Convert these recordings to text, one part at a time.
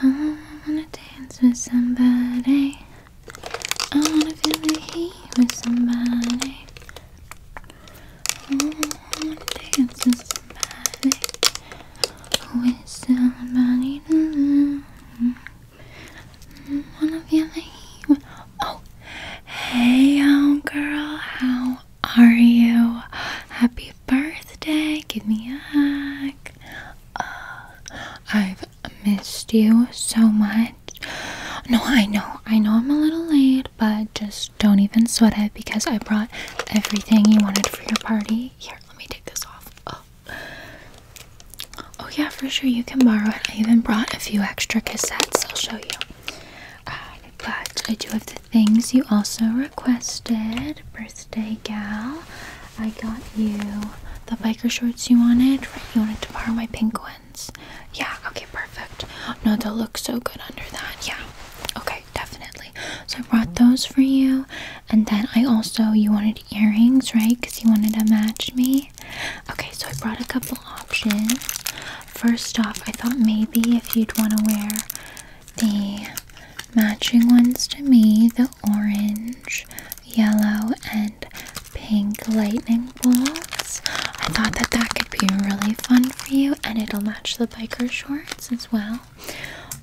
I wanna dance with somebody. I wanna feel the heat with somebody. I wanna dance with somebody. With somebody. I wanna feel the heat with Oh, hey, young girl, how are you? Happy birthday! Give me a hug. Uh, I've missed you so much. No, I know, I know I'm a little late, but just don't even sweat it because I brought everything you wanted for your party. Here, let me take this off. Oh. Oh, yeah, for sure. You can borrow it. I even brought a few extra cassettes. I'll show you but I do have the things you also requested, birthday gal. I got you the biker shorts you wanted, right? You wanted to borrow my pink ones. Yeah, okay, perfect. No, they look so good under that. Yeah, okay, definitely. So I brought those for you, and then I also, you wanted earrings, right? Because you wanted to match me. Okay. so I brought a couple options. First off, I thought maybe if you'd want to wear the matching ones to me, the orange, yellow, and pink lightning bolts. I thought that that could be really fun for you and it'll match the biker shorts as well.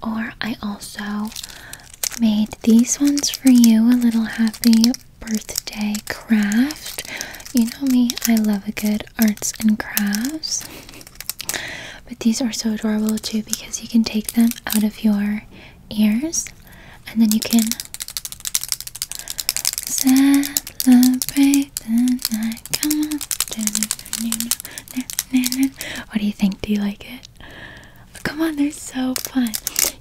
Or I also made these ones for you, a little happy birthday craft. You know me, I love a good arts and crafts. But these are so adorable too because you can take them out of your ears and then you can What do you think? Do you like it? Come on, they're so fun.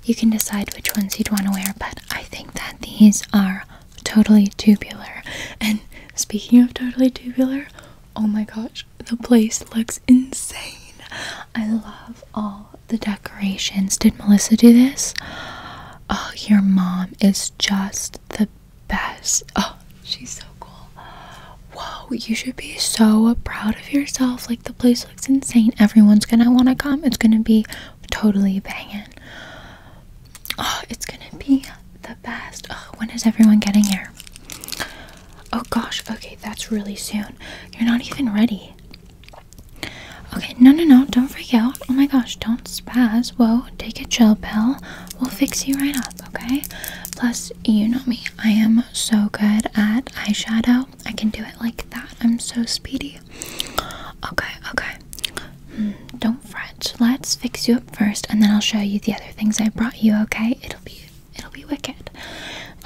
You can decide which ones you'd want to wear, but I think that these are totally tubular. And speaking of totally tubular, oh my gosh, the place looks insane. I love all the decorations. Did Melissa do this? Oh, your mom is just the best. Oh, she's so cool. Whoa, you should be so proud of yourself. Like, the place looks insane. Everyone's gonna wanna come. It's gonna be totally banging. Oh, it's gonna be the best. Oh, when is everyone getting here? Oh gosh, okay, that's really soon. You're not even ready. Okay, no, no, no, don't freak out. Oh my gosh, don't spaz. Whoa, take a chill pill. We'll fix you right up, okay? Plus, you know me, I am so good at eyeshadow. I can do it like that. I'm so speedy okay. Okay, hmm, don't fret. Let's fix you up first and then I'll show you the other things I brought you, okay? It'll be it'll be wicked.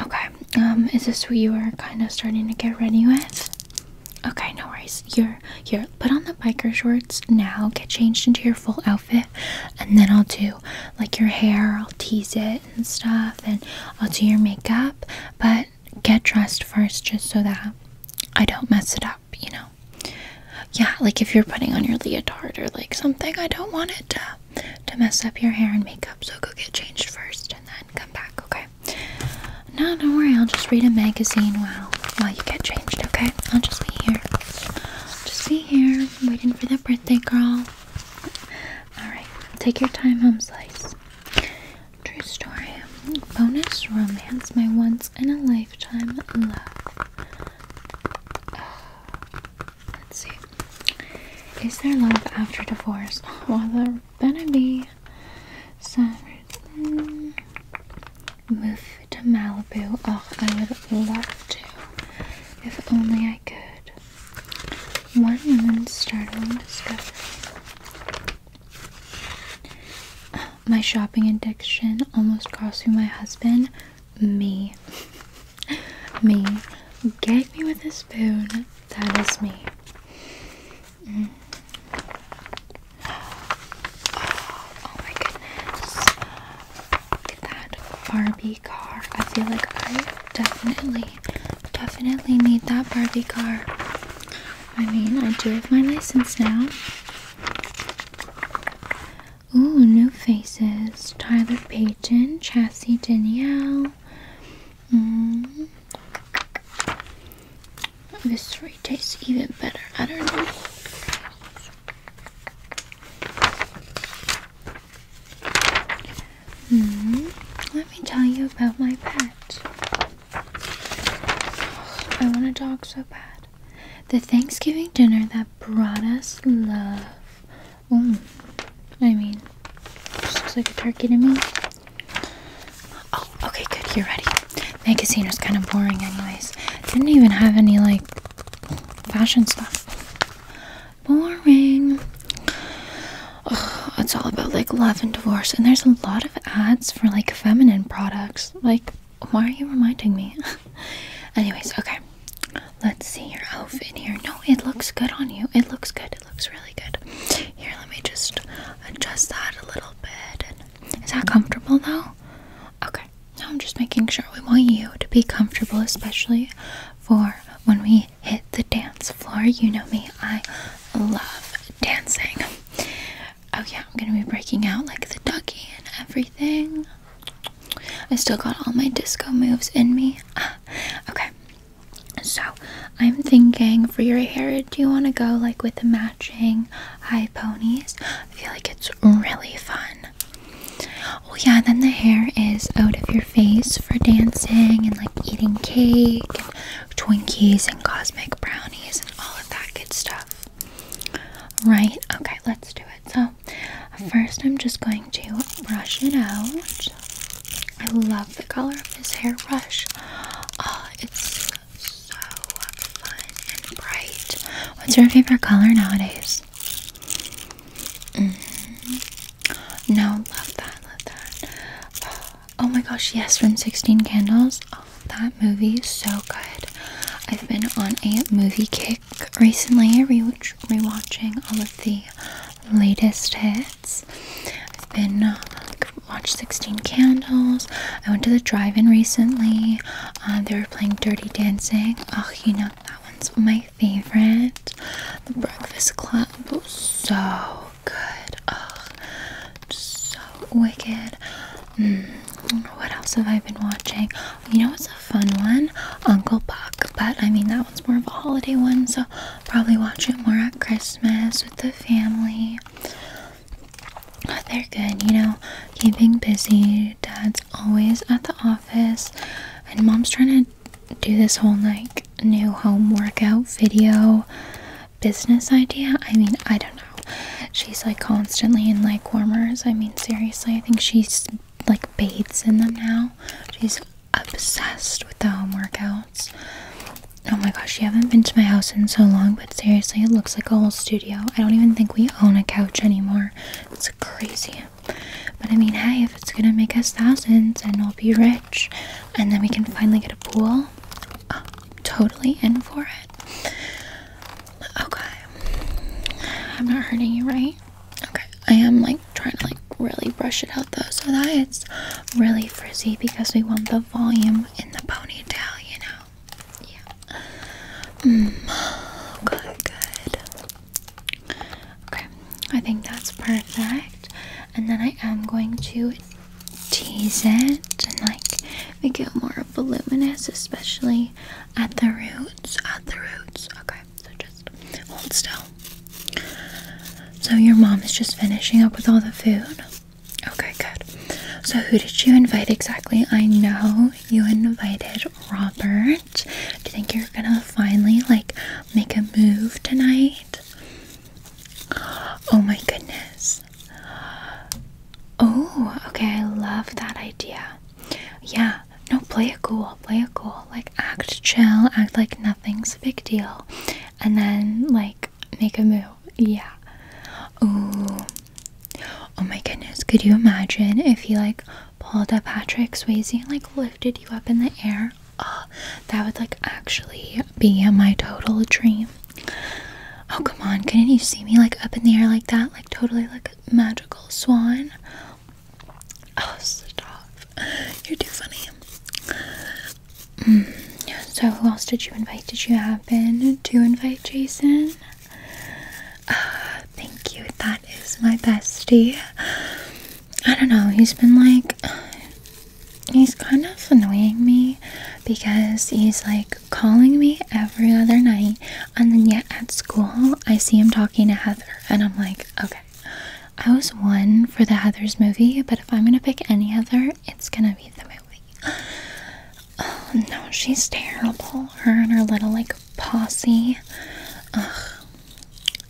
Okay. Um is this where you are kind of starting to get ready with? Okay, no worries. You're here. Put on the biker shorts now. Get changed into your full outfit and then I'll do like your hair. I'll tease it and stuff and I'll do your makeup. But get dressed first just so that I don't mess it up, you know? Yeah, like if you're putting on your leotard or like something, I don't want it to, to mess up your hair and makeup, so go get changed first and then come back, okay? No, don't worry, I'll just read a magazine while, while you get changed, okay? I'll just be here. just be here, waiting for the birthday girl. Alright, take your time, home slice. True story. Bonus romance. My once in a lifetime love. Oh, let's see. Is there love after divorce? Well, there better be. So, mm, move to Malibu. Oh, I would love to. If only I could. One woman startling discovery. My shopping addiction almost cost me my husband. Me. me. Gag me with a spoon. That is me. Mm. Oh, oh my goodness. Look at that Barbie car. I feel like I definitely Definitely need that Barbie car. I mean, I do have my license now. Ooh, new faces. Tyler Peyton, Chassie Danielle. Mm-hmm. This three tastes even better. I don't know. Mm. Let me tell you about my pet. I want a dog so bad. The Thanksgiving dinner that brought us love. Mm. I mean, just looks like a turkey to me. Oh, okay, good. You're ready. My casino's kind of boring, anyways. Didn't even have any like fashion stuff. Boring it's all about like love and divorce and there's a lot of ads for like feminine products like why are you reminding me anyways okay let's see your outfit here no it looks good on you it looks good it looks really good here let me just adjust that a little bit is that comfortable though okay now i'm just making sure we want you to be comfortable especially for when we hit the dance floor you know me i love dancing Oh yeah, I'm gonna be breaking out like the ducky and everything. I still got all my disco moves in me. okay. So I'm thinking for your hair, do you want to go like with the matching high ponies? I feel like it's really fun. Oh yeah, then the hair is out of your face for dancing and like eating cake Twinkies and cosmic brownies and all of that good stuff. Right? Okay, let's do it. So, first, I'm just going to brush it out. I love the color of this hairbrush. Oh, it's so fun and bright. What's your favorite color nowadays? Mm-hmm. No, love that, love that. Oh, Oh my gosh, yes, from 16 Candles. Oh, that movie is so good. I've been on a movie kick recently, i re rewatching all of the latest hits. I've been uh, watched 16 Candles. I went to the drive-in recently. Uh, they were playing Dirty Dancing. Oh, you know that one's my favorite. The Breakfast Club so good. Oh, so wicked. Hmm, what else have I been watching? You know, it's a fun one, Uncle Buck. But I mean, that one's more of a holiday one, so probably watch it more at Christmas with the family. they're good, you know, keeping busy. Dad's always at the office, and mom's trying to do this whole like new home workout video business idea. I mean, I don't know. She's like constantly in like warmers. I mean, seriously, I think she's like bathes in them now. She's obsessed with the home workouts. Oh my gosh, you haven't been to my house in so long, but seriously, it looks like a whole studio. I don't even think we own a couch anymore. It's crazy. But I mean, hey, if it's gonna make us thousands and we'll be rich, and then we can finally get a pool. totally in for it. Okay. I'm not hurting you, right? Okay. I am like trying to like really brush it out though so that it's really frizzy because we want the volume in the ponytail, you know. Yeah. Mm. Okay, good. Okay. I think that's perfect. And then I am going to tease it and like make it more voluminous, especially at the roots. At the roots. Okay, so just hold still. So your mom is just finishing up with all the food. Okay, good. So who did you invite exactly? I know you invited Robert. Do you think you're gonna finally like make a move tonight? Oh my goodness. Oh, okay. I love that idea. Yeah. No, play it cool. Play it cool. Like, act chill. Act like nothing's a big deal. And then, like, make a move. Yeah. Oh. Oh my goodness. Could you imagine if he, like, pulled up Patrick Swayze and, like, lifted you up in the air? Oh, that would like actually be my total dream. Oh come on, couldn't you see me like up in the air like that? Like totally like a magical swan. Oh stop. You're too funny. Mm. So who else did you invite? Did you have happen to invite Jason? Uh, thank you. That is my bestie. I don't know. He's been like he's kind of annoying me because he's like calling me every other night and then yet at school I see him talking to Heather and I'm like, okay. I was one for the Heather's movie, but if I'm gonna pick any other, it's gonna be the movie. Oh no, she's terrible. Her and her little like posse. Ugh.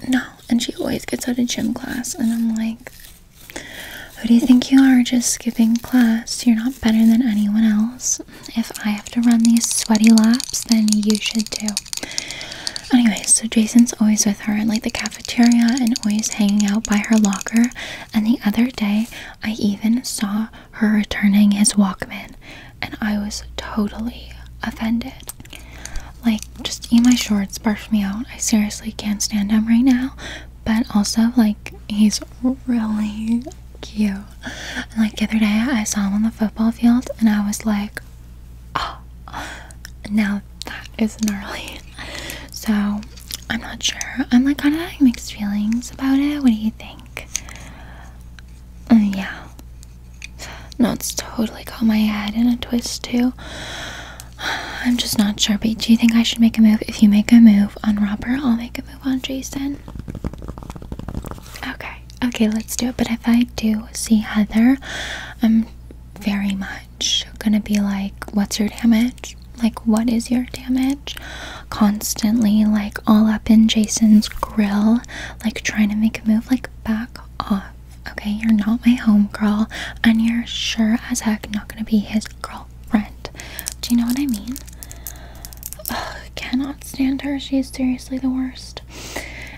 No, and she always gets out of gym class, and I'm like, who do you think you are just skipping class? You're not better than anyone else. If I have to run these sweaty laps, then you should too. Anyway, so Jason's always with her in like the cafeteria and always hanging out by her locker. And the other day, I even saw her returning his Walkman, and I was totally offended. Like, just eat my shorts, barf me out. I seriously can't stand him right now. But also, like, he's really cute. like the other day, I saw him on the football field, and I was like, oh, now that is gnarly. So I'm not sure. I'm like kind of having mixed feelings about it. What do you think? Uh, yeah. No, it's totally got my head in a twist too. I'm just not sure, but do you think I should make a move? If you make a move on Robert, I'll make a move on Jason. Okay, okay, let's do it. But if I do see Heather, I'm very much gonna be like, What's your damage? Like, what is your damage? Constantly, like, all up in Jason's grill, like, trying to make a move, like, back off. Okay, you're not my home girl, and you're sure as heck not gonna be his girlfriend. Do you know what I mean? Ugh, cannot stand her. She is seriously the worst.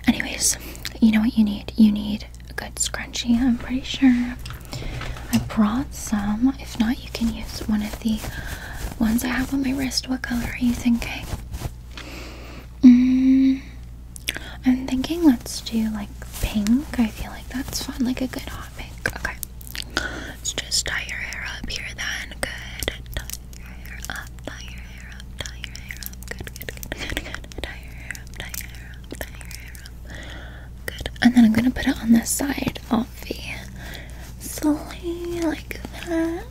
Anyways, you know what you need? You need a good scrunchie, I'm pretty sure. I brought some. If not, you can use one of the ones I have on my wrist. What color are you thinking? Mm, I'm thinking let's do like pink. I feel like that's fun, like a good hot pink. Okay. Let's just tie your hair up here then. Good. Tie your hair up, tie your hair up, tie your hair up. Good, good, good, good, good. Tie your hair up, tie your hair up, tie your hair up. Good. And then I'm gonna put it on the side of the sleeve like that.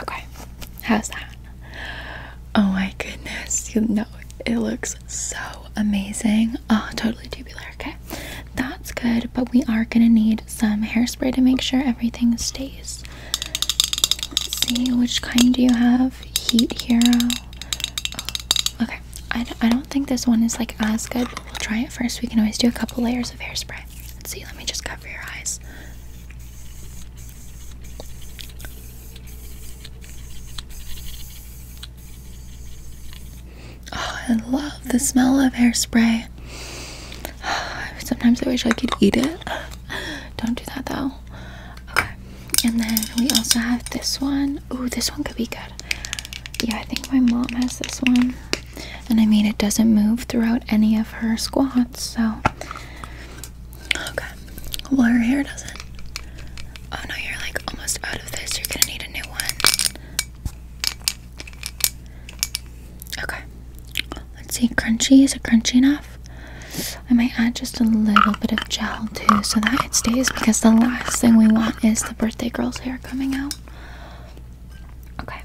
Okay. How's that? Oh my goodness. You know, it looks so amazing. Oh, totally tubular. Okay. That's good, but we are going to need some hairspray to make sure everything stays. Let's see, which kind do you have? Heat Hero. Oh, okay. I, I don't think this one is like as good, but we'll try it first. We can always do a couple layers of hairspray. Let's see, let me just cover your eyes. Oh, I love the smell of hairspray. Sometimes I wish I could eat it. Don't do that though. Okay. And then we also have this one. Ooh, this one could be good. Yeah, I think my mom has this one. And I mean, it doesn't move throughout any of her squats, so Okay. Well, her hair doesn't. Oh no, you're like almost out of this. You're gonna need a new one. Okay. Let's see. Crunchy. Is it crunchy enough? I might add just a little bit of gel too so that it stays because the last thing we want is the birthday girl's hair coming out. Okay.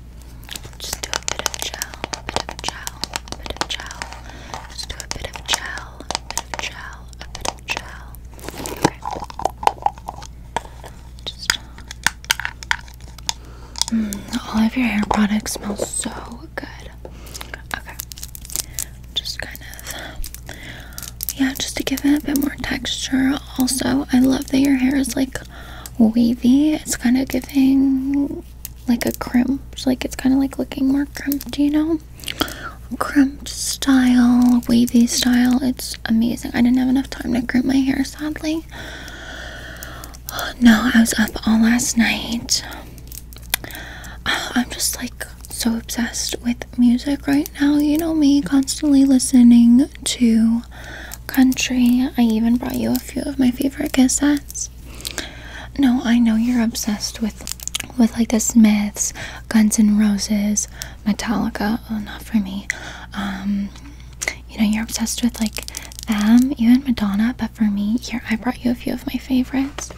Just do a bit of gel, a bit of gel, a bit of gel. Just do a bit of gel a bit of gel, a bit of gel. Okay. Just mm, all of your hair products smell so good. Okay. Just kind of yeah, just to give it a bit more texture. Also, I love that your hair is like wavy. It's kind of giving like a crimped, like it's kind of like looking more crimped, you know? Crimped style, wavy style. It's amazing. I didn't have enough time to crimp my hair, sadly. No, I was up all last night. I'm just like so obsessed with music right now. You know me, constantly listening to country. I even brought you a few of my favorite cassettes. No, I know you're obsessed with with like the Smiths, Guns N' Roses, Metallica. Oh, not for me. Um, you know you're obsessed with like them, even Madonna. But for me, here I brought you a few of my favorites.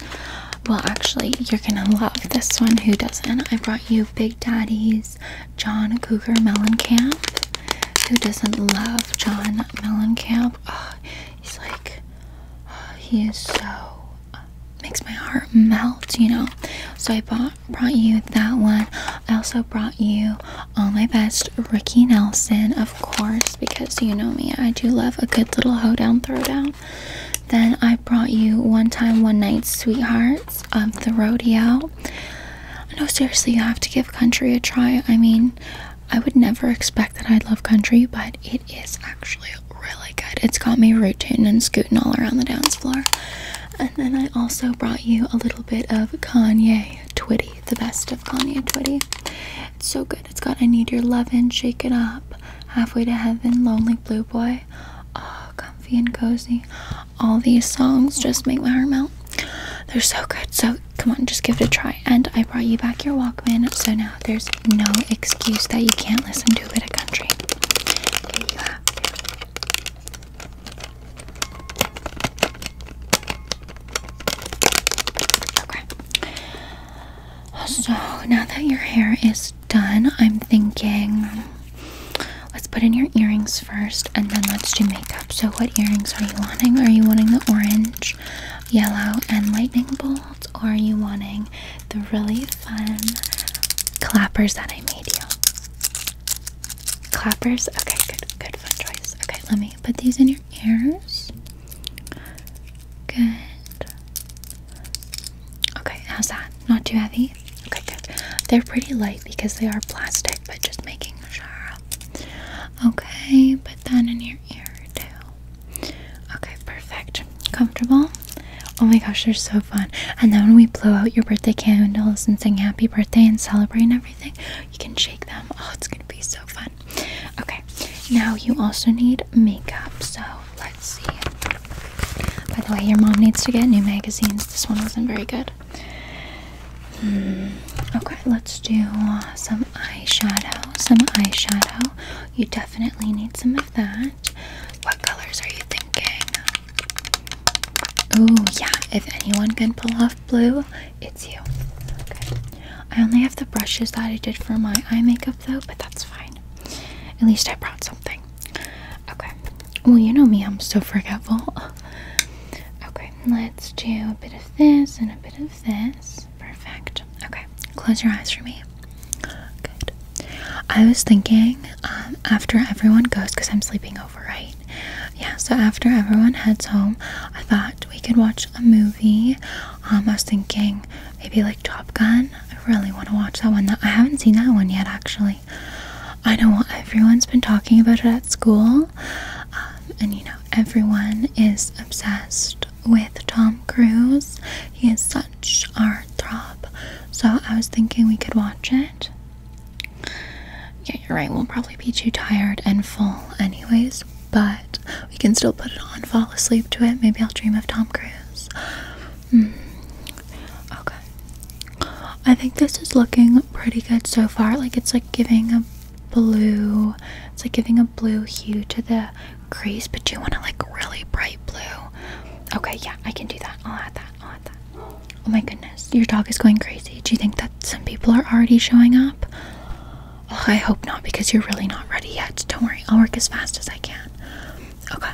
Well, actually, you're gonna love this one. Who doesn't? I brought you Big Daddy's John Cougar Mellencamp. Who doesn't love John Mellencamp? Oh, he's like he is so makes my heart melt, you know. So I bought brought you that one. I also brought you all uh, my best Ricky Nelson, of course, because you know me, I do love a good little hoedown throwdown. Then I brought you One Time One Night Sweethearts of the Rodeo. No, seriously, you have to give country a try. I mean, I would never expect that I'd love country, but it is actually really good. It's got me rooting and scooting all around the dance floor. And then I also brought you a little bit of Kanye Twitty, the best of Kanye Twitty. It's so good. It's got I Need Your Lovin', Shake It Up, Halfway to Heaven, Lonely Blue Boy, Oh, Comfy and Cozy. All these songs just make my heart melt. They're so good. So come on, just give it a try. And I brought you back your Walkman, so now there's no excuse that you can't listen to a bit of country. Okay. So now that your hair is done, I'm thinking let's put in your earrings first and then let's do makeup. So, what earrings are you wanting? Are you wanting the orange, yellow, and lightning bolt? or are you wanting the really fun clappers that I made you? Clappers? Okay, good, good, fun choice. Okay, let me put these in your ears. Good. Okay, how's that? Not too heavy? Okay, good. They're pretty light because they are plastic, but just making sure. Okay, put that in your ear too. Okay, perfect. Comfortable? Oh my gosh, they're so fun. And then when we blow out your birthday candles and sing happy birthday and celebrate and everything, you can shake them. Oh, it's gonna be so fun. Okay, now you also need makeup. So let's see. By the way, your mom needs to get new magazines. This one wasn't very good. Hmm, okay, let's do some eyeshadow. Some eyeshadow. You definitely need some of that. What colors are you thinking? Oh, yeah, if anyone can pull off blue, it's you. Okay. I only have the brushes that I did for my eye makeup though, but that's fine. At least I brought something. Okay. Well, you know me, I'm so forgetful. Okay, let's do a bit of this and a bit of this. Perfect. Okay, close your eyes for me. Good. I was thinking um, after everyone goes, because I'm sleeping over, right? Yeah, so after everyone heads home, I thought we could watch a movie. Um, I was thinking maybe like Top Gun. I really want to watch that one. I haven't seen that one yet, actually. I know everyone's been talking about it at school, um, and you know, everyone is obsessed with Tom Cruise. He is such our throb. So I was thinking we could watch it. Yeah, you're right. We'll probably be too tired and full, anyways. But we can still put it on, fall asleep to it. Maybe I'll dream of Tom Cruise. Hmm. Okay. I think this is looking pretty good so far. Like it's like giving a blue. It's like giving a blue hue to the crease, but you want to like really bright blue. Okay, yeah, I can do that. I'll add that. I'll add that. Oh my goodness, your dog is going crazy. Do you think that some people are already showing up? I hope not because you're really not ready yet. Don't worry, I'll work as fast as I can. Okay.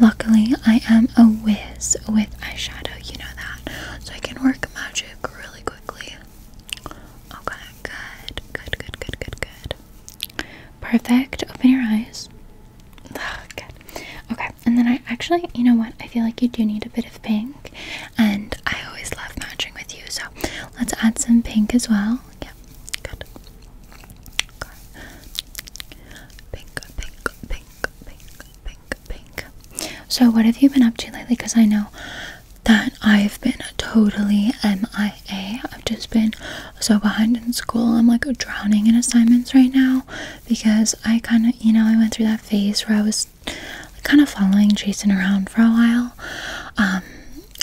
Luckily, I am a whiz with eyeshadow, you know that. So I can work magic really quickly. Okay, good, good, good, good, good, good. Perfect. Open your eyes. good. Okay, and then I actually, you know what? I feel like you do need a bit of pink, and I always love matching with you, so let's add some pink as well. Yeah, good. Okay. Pink, pink, pink, pink, pink, pink, So, what have you been up to lately? Because I know that I've been totally MIA. I've just been so behind in school. I'm like drowning in assignments right now because I kind of, you know, I went through that phase where I was kind of following Jason around for a while. Um,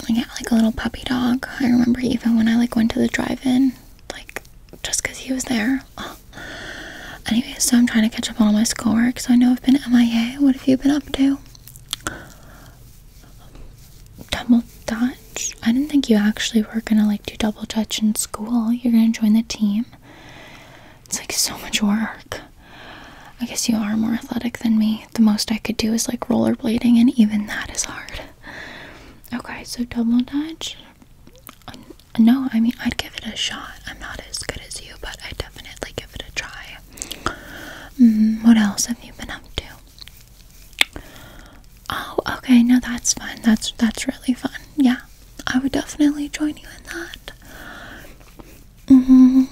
got like a little puppy dog. I remember even when I like went to the drive-in, like just because he was there. Anyway, so I'm trying to catch up on all my schoolwork. So I know I've been MIA. What have you been up to? Double dodge. I didn't think you actually were gonna like do double Dutch in school. You're gonna join the team. It's like so much work. I guess you are more athletic than me. The most I could do is like rollerblading, and even that is hard. Okay, so double dodge. Um, no, I mean, I'd give it a shot. I'm not as good as you, but I'd definitely give it a try. Mm, what else have you been up to? Oh, okay, no, that's fun. That's that's really fun. Yeah, I would definitely join you in that. Mm-hmm.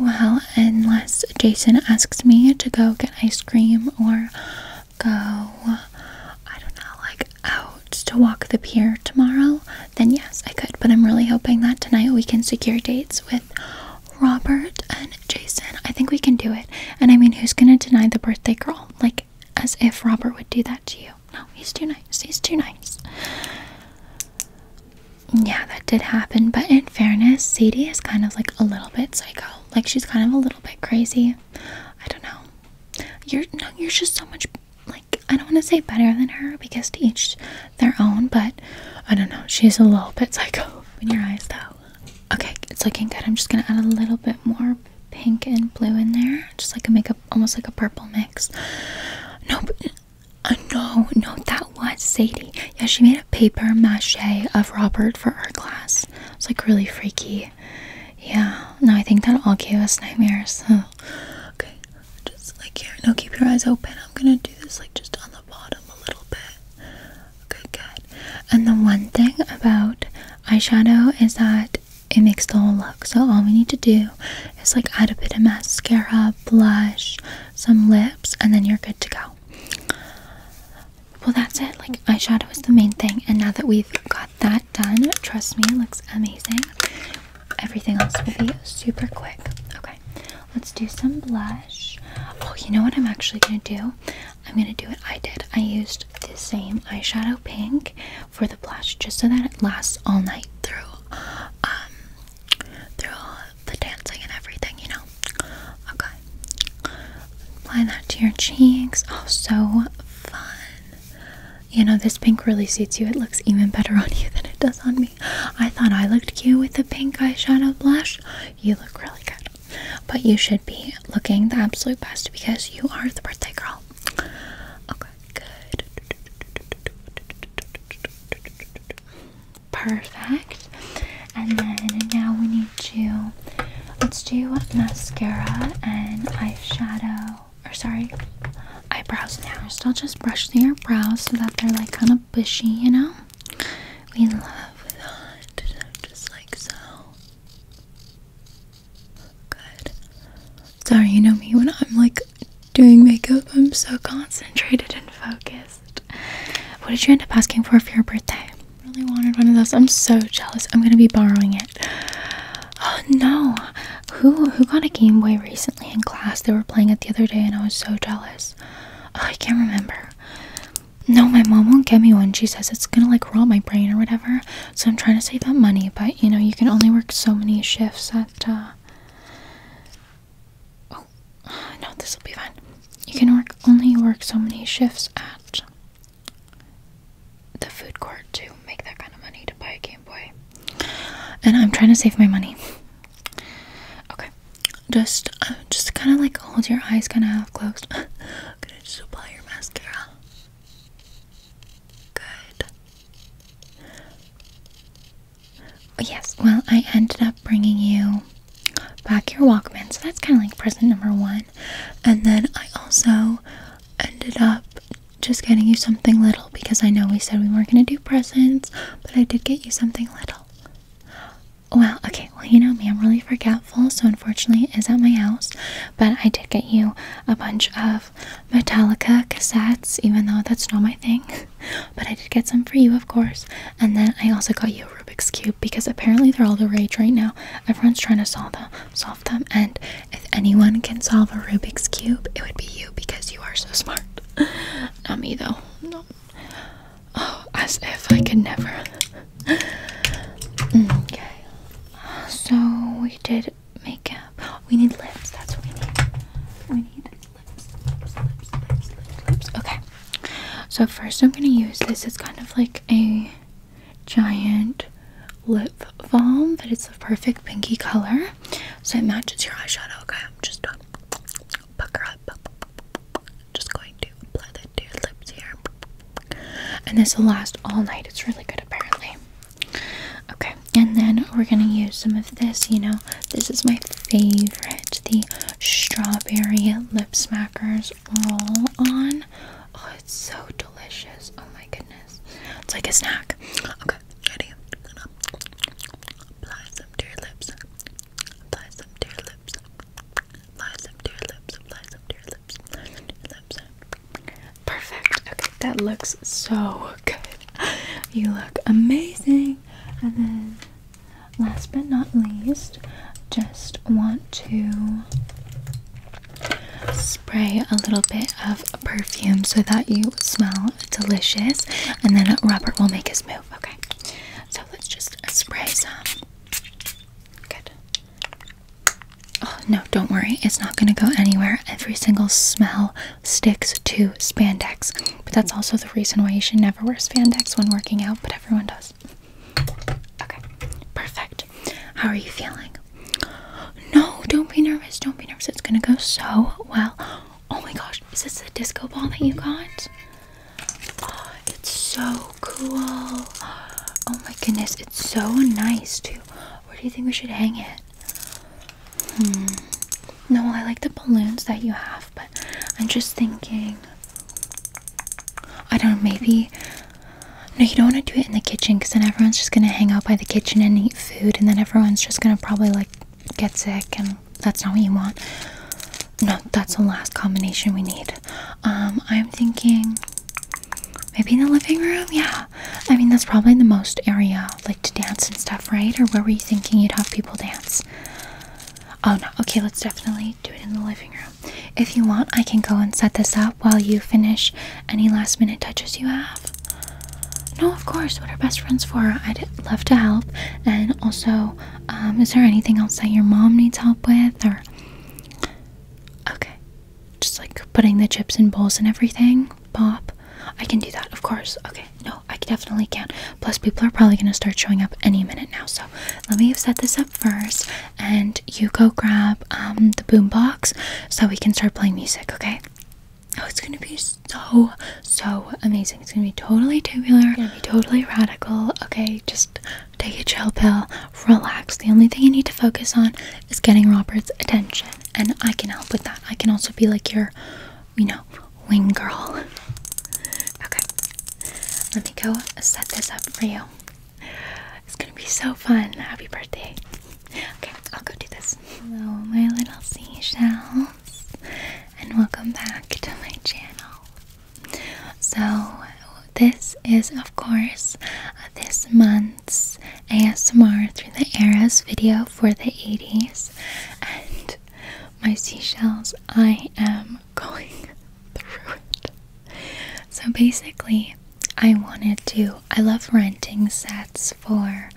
Well, unless Jason asks me to go get ice cream or go, I don't know, like out boats to walk the pier tomorrow, then yes, I could. But I'm really hoping that tonight we can secure dates with Robert and Jason. I think we can do it. And I mean, who's gonna deny the birthday girl? Like, as if Robert would do that to you. No, he's too nice. He's too nice. Yeah, that did happen. But in fairness, Sadie is kind of like a little bit psycho. Like she's kind of a little bit crazy. I don't know. You're no, you're just so much I don't want to say better than her because to each their own, but I don't know. She's a little bit psycho in your eyes though. Okay, it's looking good. I'm just gonna add a little bit more pink and blue in there. Just like a makeup almost like a purple mix. No but, uh, no, no, that was Sadie. Yeah, she made a paper mache of Robert for our class. It's like really freaky. Yeah, Now I think that all gave us nightmares. Okay, just like here. Now keep your eyes open. I'm gonna do this like just on the bottom a little bit. Okay, good. And the one thing about eyeshadow is that it makes the whole look. So all we need to do is like add a bit of mascara, blush, some lips, and then you're good to go. Well, that's it. Like eyeshadow is the main thing, and now that we've got that that done, trust me, it looks amazing. Everything else will be super quick. Okay, let's do some blush. Oh, you know what I'm actually gonna do? I'm gonna do what I did. I used the same eyeshadow pink for the blush just so that it lasts all night through um through the dancing and everything, you know. Okay. Apply that to your cheeks. Oh so fun. You know, this pink really suits you. It looks even better on you than it does on me. I thought I looked cute with the pink eyeshadow blush. You look really good. But you should be looking the absolute best because you are the birthday girl. Okay, good. Perfect. And then now we need to let's do mascara and eyeshadow now, or sorry, eyebrows now. First, I'll just brush through your brows so that they're like kind of bushy, you know? We love that, just like so. Good. Sorry, you know me, when I'm like doing makeup, I'm so concentrated and focused. What did you end up asking for for your birthday? really wanted one of those. I'm so jealous. I'm gonna be borrowing it. Oh no, who who got a Game Boy recently in class? They were playing it the other day, and I was so jealous. I can't remember. No, my mom won't get me one. She says it's gonna like rot my brain or whatever. So I'm trying to save up money, but you know you can only work so many shifts at. Uh... Oh, no, this will be fine. You can work only work so many shifts at the food court to make that kind of money to buy a Game Boy. And I'm trying to save my money. Okay, just uh, just kind of like hold your eyes kind of half closed. I'm gonna just apply your mascara. Good. Oh, yes, well, I ended up bringing you back your Walkman, so that's kind of like present number one. And then I also ended up just getting you something little because I know we said we weren't going to do presents, but I did get you something little. Well, okay, well, you know me, I'm really forgetful, so unfortunately it is at my house, but I did get you a bunch of Metallica cassettes, even though that's not my thing, but I did get some for you, of course, and then I also got you a Rubik's Cube because apparently they're all the rage right now. Everyone's trying to solve them, solve them, and if anyone can solve a Rubik's Cube, it would be you because you are so smart. Not me though. No. Oh, as if I could never. Mm, okay. So we did makeup. We need lips. That's what we need. We need lips, lips, lips, lips, lips, Okay. So first, I'm gonna use this. It's kind of like a giant lip balm, but it's the perfect pinky color. So it matches your eyeshadow. Okay, I'm just done. Pucker up. Just going to apply that to your lips here. And this will last all night. It's really good apparently. Okay, and then we're gonna use some of this. You know, this is my favorite, the strawberry lip smackers roll on. Oh, it's so delicious. Oh my goodness. It's like a snack. Okay. Ready? Apply some to your lips. Apply some to your lips. Apply some to your lips. Apply some to your lips. Perfect. Okay, that looks so good. You look amazing. And then, last but not least, just want to spray a little bit of perfume so that you smell delicious, and then Robert will make his move. Okay, so let's just spray some. Good. Oh, no, don't worry, it's not going to go anywhere. Every single smell sticks to spandex, but that's also the reason why you should never wear spandex when working out, but everyone does. Okay, perfect. How are you feeling? No, don't be nervous. Don't be nervous. It's gonna go so well. Oh my gosh, is this the disco ball that you got? Oh, it's so cool. Oh my goodness, it's so nice too. Where do you think we should hang it? Hmm. No, I like the balloons that you have, but I'm just thinking. I don't know, maybe no, you don't want to do it in the kitchen because then everyone's just going to hang out by the kitchen and eat food, and then everyone's just going to probably like get sick, and that's not what you want. No, that's the last combination we need. Um, I'm thinking maybe in the living room, yeah. I mean, that's probably the most area like to dance and stuff, right? Or where were you thinking you'd have people dance? Oh no, okay, let's definitely do it in the living room. If you want, I can go and set this up while you finish any last minute touches you have? No, of course. What are best friends for? I'd love to help. And also, um, is there anything else that your mom needs help with? Or okay, just like putting the chips in bowls and everything. Bob, I can do that, of course. Okay, no, I definitely can. not Plus, people are probably gonna start showing up any minute now. So let me set this up first, and you go grab um, the boombox so we can start playing music. Okay. Oh, it's gonna be so so amazing. It's gonna be totally tubular. It's gonna be totally radical. Okay, just take a chill pill, relax. The only thing you need to focus on is getting Robert's attention, and I can help with that. I can also be like your, you know, wing girl. Okay, let me go set this up for you. It's gonna be so fun. Happy birthday. Okay, I'll go do this. Hello, my little seashells, and welcome back to my channel. So, this is, of course, uh, this month's ASMR through the eras video for the 80s. And my seashells, I am going through it. So, basically, I wanted to I love renting sets for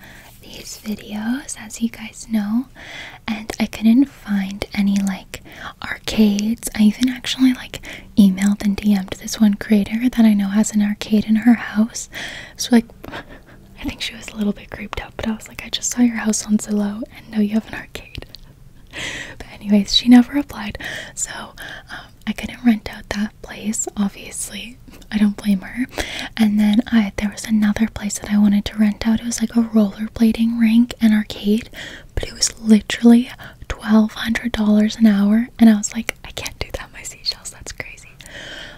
these videos as you guys know and I couldn't find any like arcades I even actually like emailed and DM'd this one creator that I know has an arcade in her house so like I think she was a little bit creeped out but I was like I just saw your house on Zillow and know you have an arcade but anyways she never replied so um, I couldn't rent out that place, obviously. I don't blame her. And then I there was another place that I wanted to rent out. It was like a rollerblading rink and arcade, but it was literally $1200 an hour and I was like, I can't do that my seashells. That's crazy.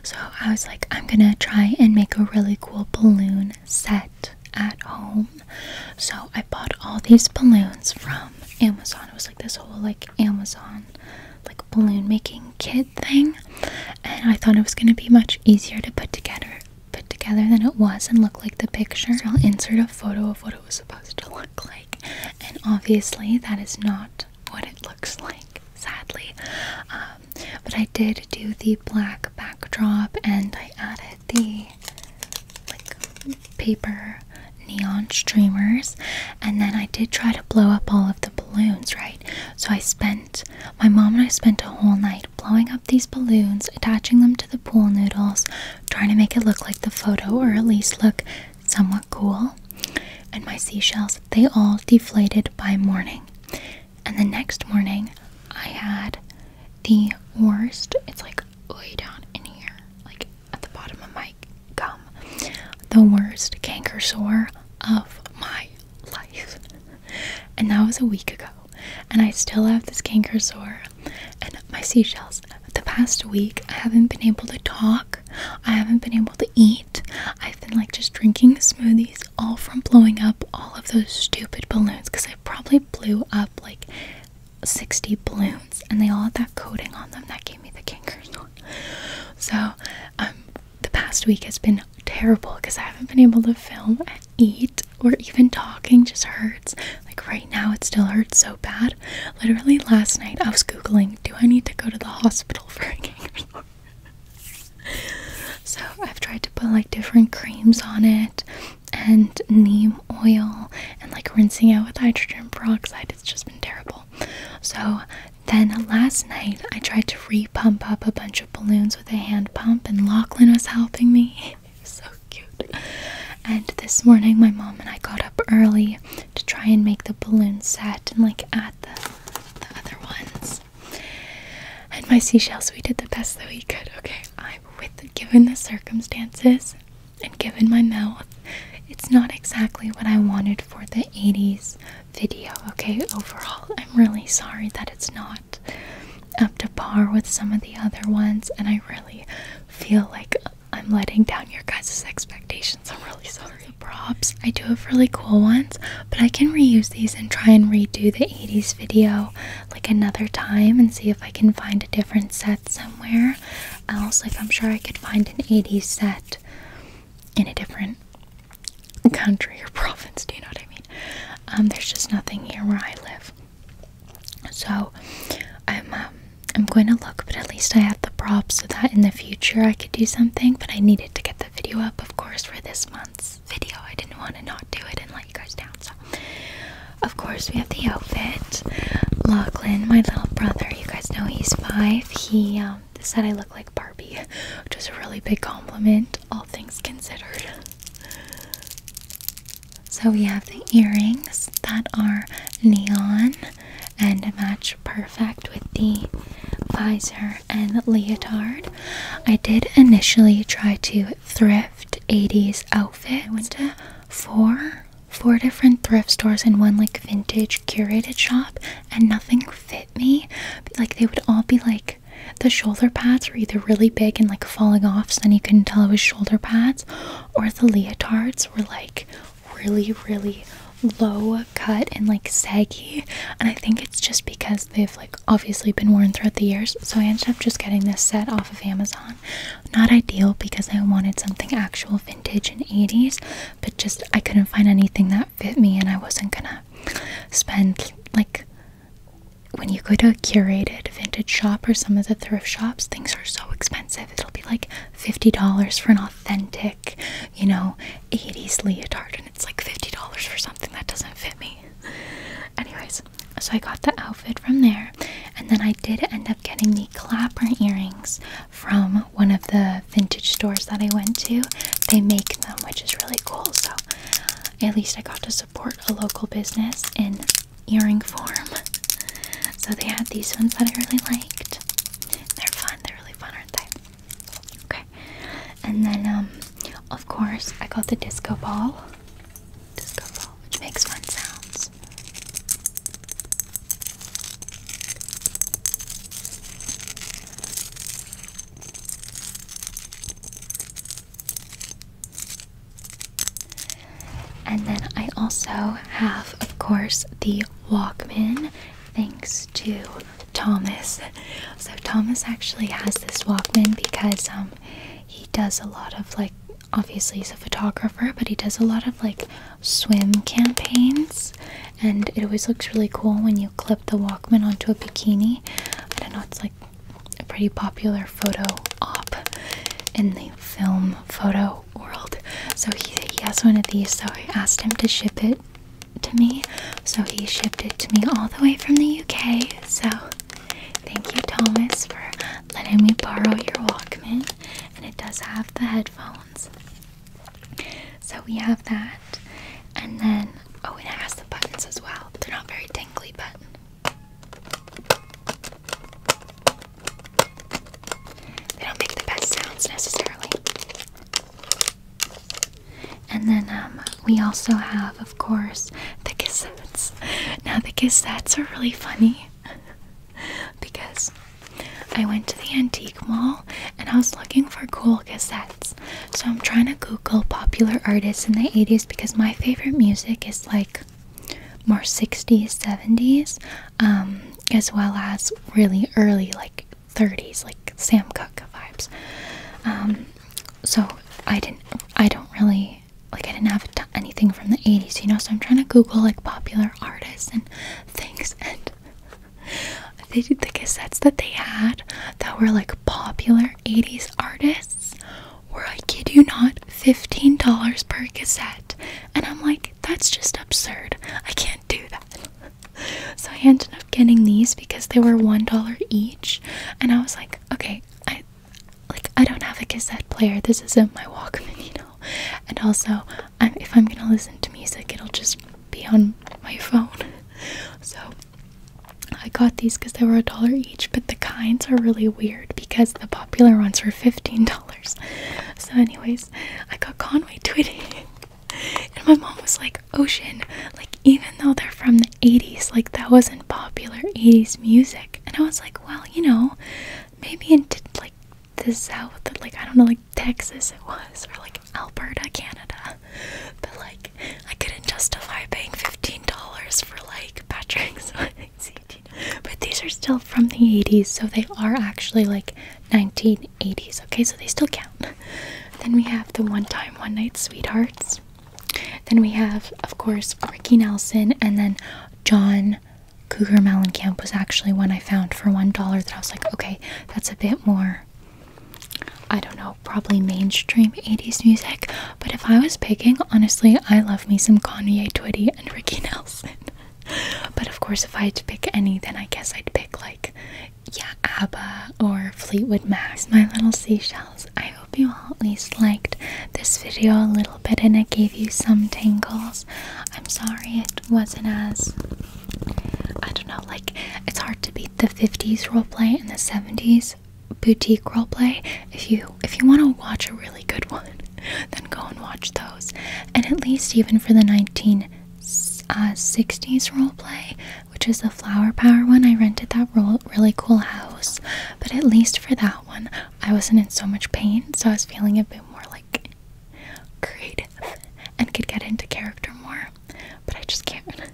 So I was like, I'm going to try and make a really cool balloon set at home. So I bought all these balloons from Amazon. It was like this whole like Amazon like balloon making kid thing and I thought it was going to be much easier to put together put together than it was and look like the picture. I'll insert a photo of what it was supposed to look like and obviously that is not what it looks like sadly um, but I did do the black backdrop and I added the like paper neon streamers and then I did try to blow up all of the balloons, right? So I spent my mom and I spent a whole night blowing up these balloons, attaching them to the pool noodles, trying to make it look like the photo or at least look somewhat cool. And my seashells, they all deflated by morning. And the next morning, I had the worst. It's like way down in here. Like at the bottom of my gum. The worst canker sore of my life. And that was a week ago. And I still have this canker sore and my seashells. The past week, I haven't been able to talk. I haven't been able to eat. I've been like just drinking smoothies, all from blowing up all of those stupid balloons. Because I probably blew up like 60 balloons and they all had that coating on them that gave me the canker sore. So, um, the past week has been terrible because I haven't been able to film eat or even talking just hurts. Like right now, it still hurts so bad. Literally last night, I was googling, do I need to go to the hospital for a gangrene? so I've tried to put like different creams on it and neem oil and like rinsing out with hydrogen peroxide. It's just been terrible. So then last night I tried to re pump up a bunch of balloons with a hand pump, and Lachlan was helping me. so cute. And this morning my mom and I got up early to try and make the balloon set and like add the, other ones. And my seashells, we did the best that we could. Okay, I with given the circumstances, and given my mouth. It's not exactly what I wanted for the 80s video, okay? Overall, I'm really sorry that it's not up to par with some of the other ones, and I really feel like I'm letting down your guys' expectations. I'm really sorry. props, I do have really cool ones, but I can reuse these and try and redo the 80s video like another time and see if I can find a different set somewhere else. Like, I'm sure I could find an 80s set in a different country or province, do you know what I mean? Um, there's just nothing here where I live. So I'm um, I'm going to look, but at least I have the props so that in the future I could do something. But I needed to get the video up, of course, for this month's video. I didn't want to not do it and let you guys down. So, of course, we have the outfit. Lachlan, my little brother, you guys know he's five he um, said I look like Barbie, which is a really big compliment, all things considered. So we have the earrings that are neon and match perfect with the visor and leotard. I did initially try to thrift 80s outfit. I went to four four different thrift stores and one like vintage curated shop and nothing fit me like they would all be like the shoulder pads were either really big and like falling off so then you couldn't tell it was shoulder pads or the leotards were like really really low cut and like saggy and i think it's just because they've like obviously been worn throughout the years so i ended up just getting this set off of amazon not ideal because i wanted something actual vintage and 80s, but just I couldn't find anything that fit me, and I wasn't gonna spend like when you go to a curated vintage shop or some of the thrift shops, things are so expensive. It'll be like $50 for an authentic, you know, 80s leotard, and it's like $50 for something that doesn't fit me. Anyways, so I got the outfit from there, and then I did end up getting the clapper earrings from one of the vintage stores that I went to. They make them, which is really cool. So at least I got to support a local business in earring form. So they had these ones that I really liked. They're fun. They're really fun, aren't they? Okay. And then, um, of course, I got the disco ball. Disco ball, which makes fun sounds. And then I also have, of course, the Walkman, thanks to Thomas. So, Thomas actually has this Walkman because um, he does a lot of like, obviously, he's a photographer, but he does a lot of like swim campaigns, and it always looks really cool when you clip the Walkman onto a bikini. I don't know, it's like a pretty popular photo op in the film photo world. So he, he has one of these, so I asked him to ship it to me. So he shipped it to me all the way from the UK. So thank you, Thomas, for letting me borrow your Walkman. And it does have the headphones. So we have that, and then oh, and it has the buttons as well, they're not very tingly, but they don't make the best sounds necessarily. And then um, we also have, of course, the cassettes. Now the cassettes are really funny because I went to the antique mall and I was looking for cool cassettes. So I'm trying to Google popular artists in the 80s because my favorite music is like more 60s, 70s, um, as well as really early, like 30s, like Sam Cooke vibes. Um, so I didn't, I don't really like I didn't have anything from the 80s, you know. So I'm trying to Google like popular artists, and things and they did the cassettes that they had that were like popular 80s artists were I kid you not $15 per cassette and I'm like that's just absurd I can't do that so I ended up getting these because they were $1 each and I was like okay I like I don't have a cassette player this isn't my Walkman you know and also if I'm gonna listen to music, it'll just be on my phone. so I got these because they were a dollar each, but the kinds are really weird because the popular ones were fifteen dollars. So, anyways, I got Conway Twitty, and my mom was like, "Ocean, like even though they're from the '80s, like that wasn't popular '80s music." And I was like, "Well, you know, maybe in t like the South, like I don't know, like Texas it was, or like Alberta, Canada. But like I couldn't justify paying fifteen dollars for like Patrick's But these are still from the 80s, so they are actually like 1980s, okay? So they still count. Then we have the one time, one night sweethearts. Then we have, of course, Ricky Nelson and then John Cougar Melon Camp was actually one I found for $1 that I was like, okay, that's a bit more, I don't know, probably mainstream 80s music. But if I was picking, honestly, I love me some Kanye Twitty and Ricky Nelson. but of course, if I had to pick any, then I guess I'd pick like, yeah, ABBA or Fleetwood Mac. My little seashells. I hope you all at least liked this video a little bit and it gave you some tingles. I'm sorry it wasn't as I don't know, like it's hard to beat the 50s roleplay and the 70s boutique roleplay. If you if you want to watch a really good one, then go and watch those. And at least even for the 1960s uh, 60s roleplay, which is the Flower Power one, I rented that really cool house. But at least for that one, I wasn't in so much pain, so I was feeling a bit more like creative and could get into character more, but I just can't.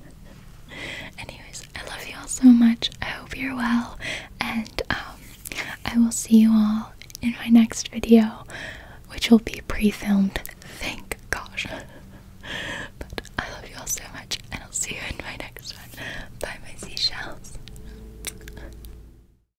Anyways, I love you all so much. I hope you're well, and um, I will see you all in my next video, which will be pre filmed. Thank gosh. but I love you all so much, and I'll see you in my next one. Bye, my seashells.